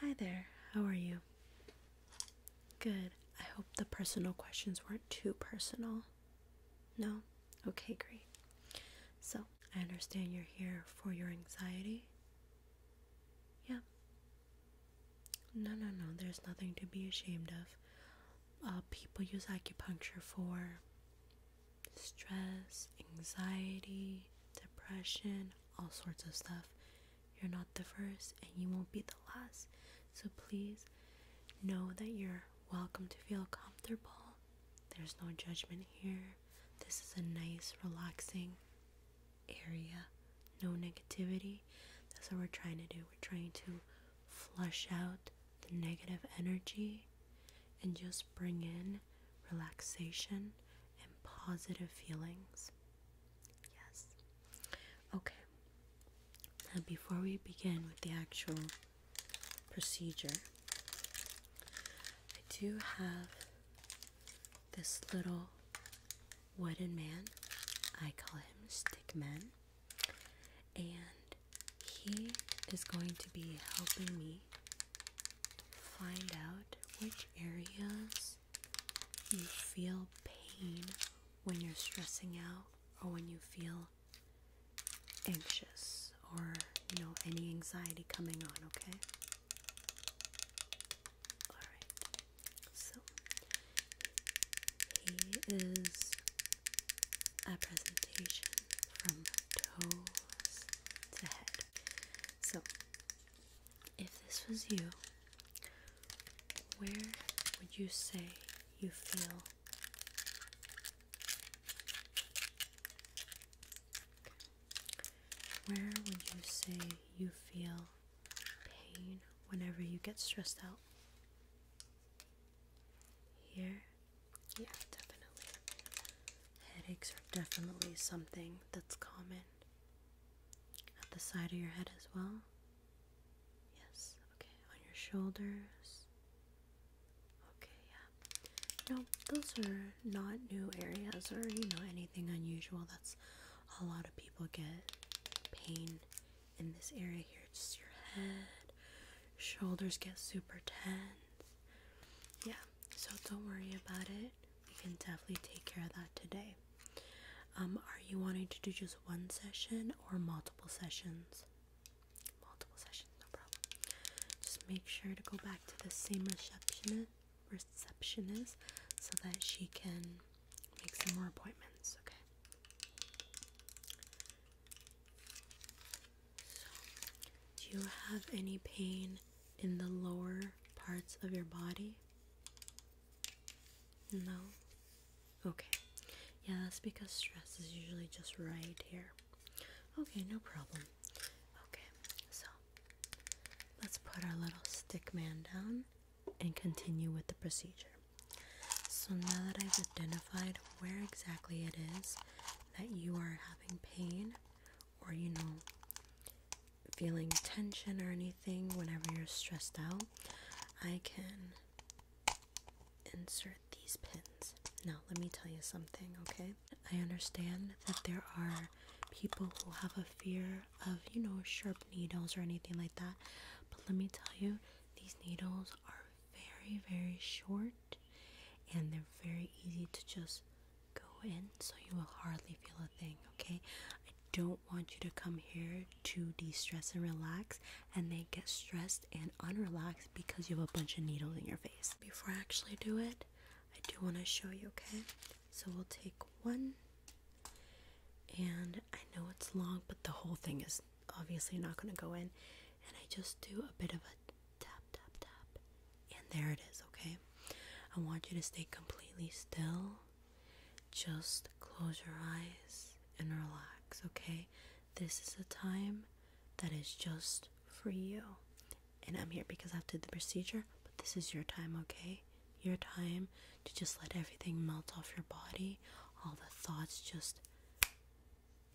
Hi there, how are you? Good. I hope the personal questions weren't too personal. No? Okay, great. So, I understand you're here for your anxiety. Yeah. No, no, no, there's nothing to be ashamed of. Uh, people use acupuncture for stress, anxiety, depression, all sorts of stuff. You're not the first and you won't be the last. So please know that you're welcome to feel comfortable. There's no judgment here. This is a nice, relaxing area. No negativity. That's what we're trying to do. We're trying to flush out the negative energy and just bring in relaxation, and positive feelings. Yes. Okay. before we begin with the actual procedure, I do have this little wooden man. I call him Stick Man. And he is going to be helping me find out which areas you feel pain when you're stressing out or when you feel anxious or you know any anxiety coming on okay all right so he is a presentation from toes to head so if this was you, where would you say you feel where would you say you feel pain whenever you get stressed out? Here? Yeah, definitely. Headaches are definitely something that's common at the side of your head as well? Yes, okay. On your shoulders? Okay, yeah. No, those are not new areas or, you know, anything unusual. That's a lot of people get pain in this area here. Just your head, shoulders get super tense. Yeah, so don't worry about it it, we can definitely take care of that today. Um, are you wanting to do just one session or multiple sessions? Multiple sessions, no problem. Just make sure to go back to the same receptionist, receptionist so that she can make some more appointments, okay? So, do you have any pain in the lower parts of your body? No? Okay. Yeah, that's because stress is usually just right here. Okay, no problem. Okay, so let's put our little stick man down and continue with the procedure. So now that I've identified where exactly it is that you are having pain, or you know, feeling tension or anything whenever you're stressed out, I can insert these pins. Now, let me tell you something, okay? I understand that there are people who have a fear of, you know, sharp needles or anything like that, but let me tell you, these needles are very, very short and they're very easy to just go in so you will hardly feel a thing, okay? I don't want you to come here to de stress and relax and then get stressed and unrelaxed because you have a bunch of needles in your face. Before I actually do it, I do want to show you, okay? So we'll take one, and I know it's long, but the whole thing is obviously not going to go in. And I just do a bit of a tap, tap, tap, and there it is, okay? I want you to stay completely still just close your eyes and relax, okay? This is a time that is just for you. And I'm here because I have to the procedure, but this is your time, okay? Your time to just let everything melt off your body, all the thoughts just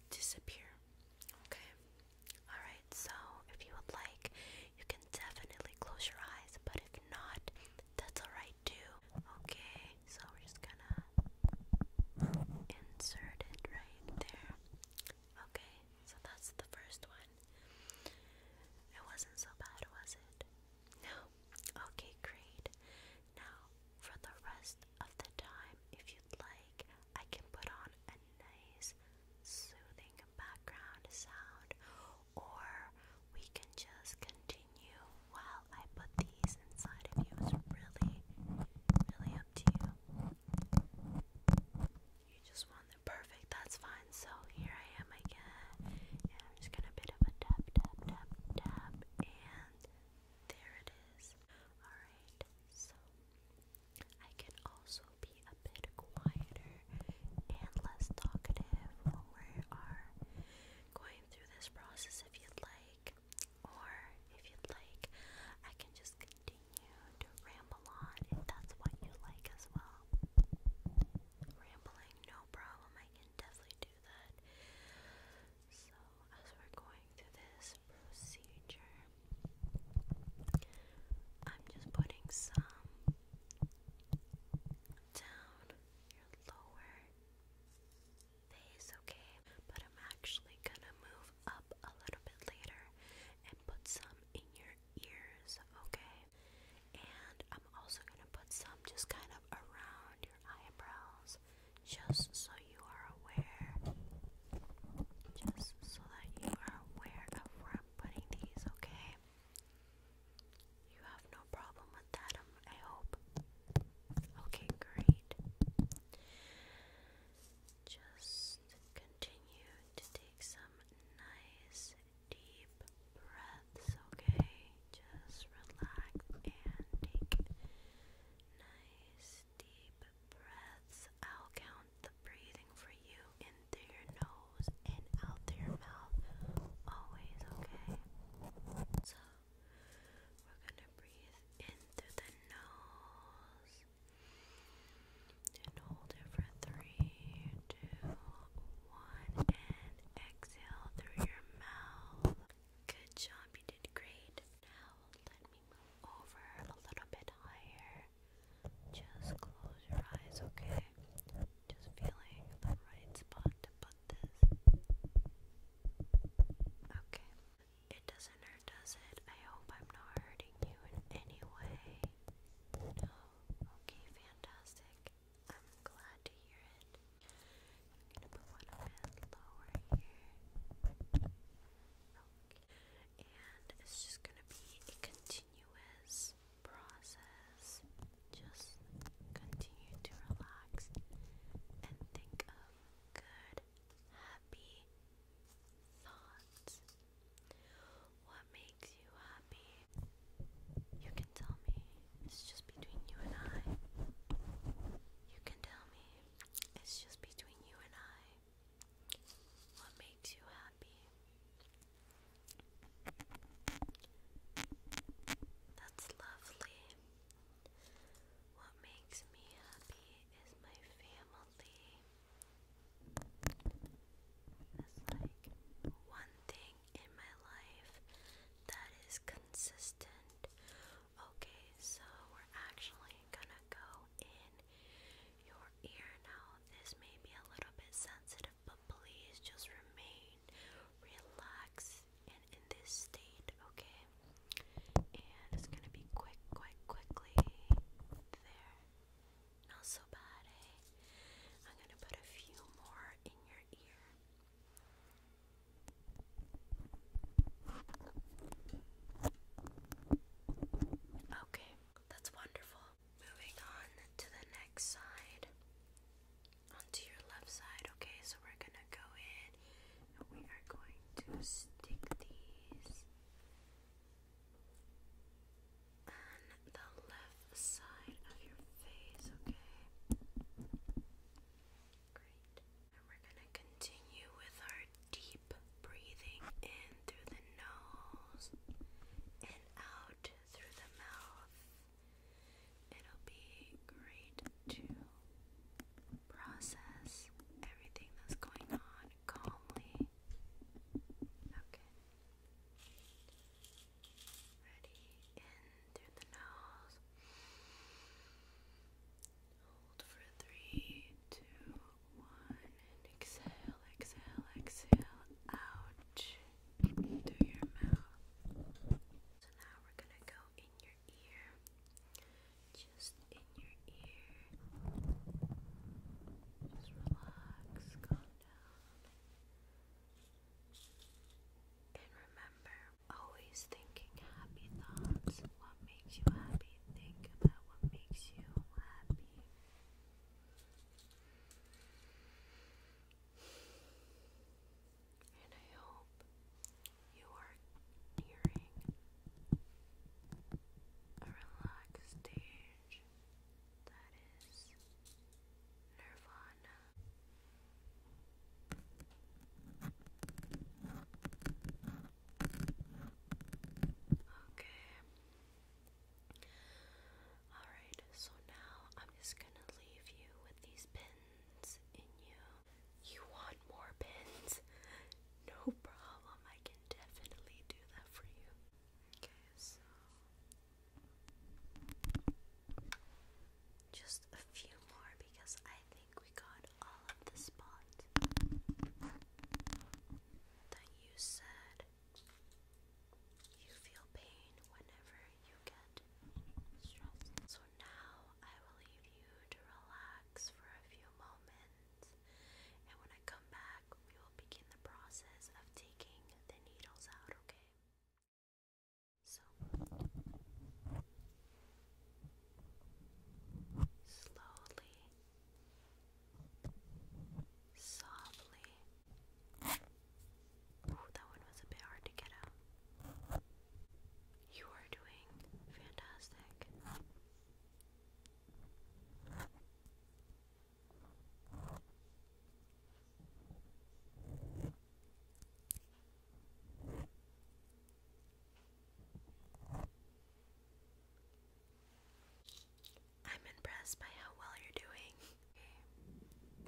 disappear. Okay? Alright, so if you would like, you can definitely close your eyes, but if not, that's alright too. Okay, so we're just gonna insert it right there. Okay, so that's the first one. It wasn't so bad, was it? No. Okay, great. Now, for the rest of the time, if you'd like, I can put on a nice soothing background sound or we can just continue while I put these inside of you. It's really, really up to you. You just want the perfect, that's fine. So here I am again, and I'm just gonna bit a tap, tap, tap, tap, and there it is. Alright, so I can also be a bit quieter and less talkative when we are going through this process if you'd like. Or if you'd like, I can just continue to ramble on if that's what you like as well. Rambling, no problem, I can definitely do that. So, as we're going through this procedure, I'm just putting some down your lower face, okay? But I'm actually gonna move up a little bit later and put some in your ears, okay? And I'm also gonna put some just kind of around your eyebrows, just so you are aware. Just so that you are aware of where I'm putting these, okay? You have no problem with that, um, I hope. Okay, great. Just continue to take some nice deep breaths, okay? Just relax and take nice deep breaths. I'll count the breathing for you through your nose and out through your mouth. Always, okay? So, we're gonna breathe in through the nose and hold it for three, two, one, and exhale through your mouth. Good job, you did great. Now, let me move over a little bit higher. Just close your eyes, okay? Just feeling the right spot to put this. Okay. It doesn't hurt, does it? I hope I'm not hurting you in any way. No. Okay, fantastic. I'm glad to hear it. i to put one a bit lower here. Okay. And it's just gonna be continuous process, just continue to relax and think of good, happy thoughts. What makes you happy? You can tell me. It's just between you and I. You can tell me. It's just between you and I. What makes you happy? That's lovely. What makes me happy is my family. That's like one thing in my life that is consistent. Okay, so we're actually gonna go in your ear now. This may be a little bit sensitive but please just remain relaxed and in this state, okay? And it's gonna be quick, quick, quickly. There. Not so bad, eh? I'm gonna put a few more in your ear. Okay, that's wonderful. Moving on to the next side. Onto your left side, okay? So we're gonna go in and we are going to stick these on the left side of your face, okay? Great. And we're gonna continue with our deep breathing in through the nose and out through the mouth. It'll be great to process everything that's going on calmly. Okay. Ready? In through the nose. Hold for three, two, one, and exhale, exhale, exhale out through your mouth. So now we're gonna go in your ear, just in your ear. Just relax, calm down. And remember, always thinking happy thoughts. What makes you happy? Think about what makes you happy. And I hope you are nearing a relaxed stage that is nirvana. Okay. Alright, so now I'm just gonna leave you with these pins in you. You want more pins? No problem, I can definitely do that for you. Okay, so. Just a few more because I think we got all of the spots that you said you feel pain whenever you get stressed. So now I will leave you to relax for a few moments, and when I come back, we will begin the process of taking the needles out, okay? So, slowly, softly that one was a bit hard to get out. You are doing fantastic. I'm impressed by how well you're doing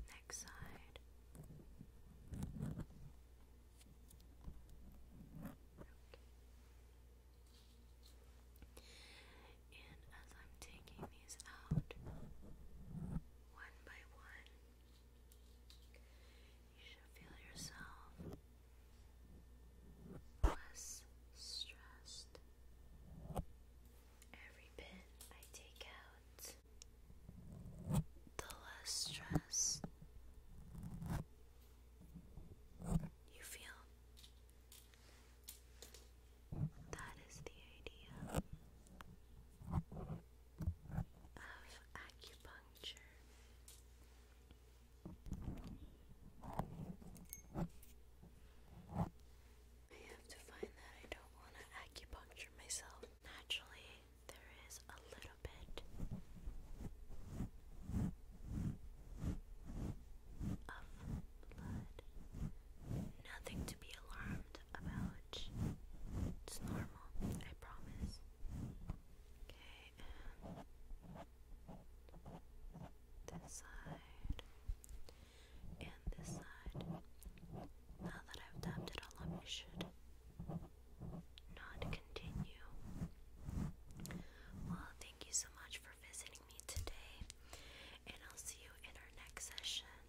next side. And as I'm taking these out one by one, you should feel yourself less stressed. Every pin I take out the less stress you feel. That is the idea of acupuncture. I have to find that I don't want to acupuncture myself. Naturally, there is a little bit of blood. Nothing to be alarmed about. It's normal, I promise. Okay, um, this side and this side. Now that I've dabbed it all up, it should not continue. Well, thank you so much for visiting me today, and I'll see you in our next session.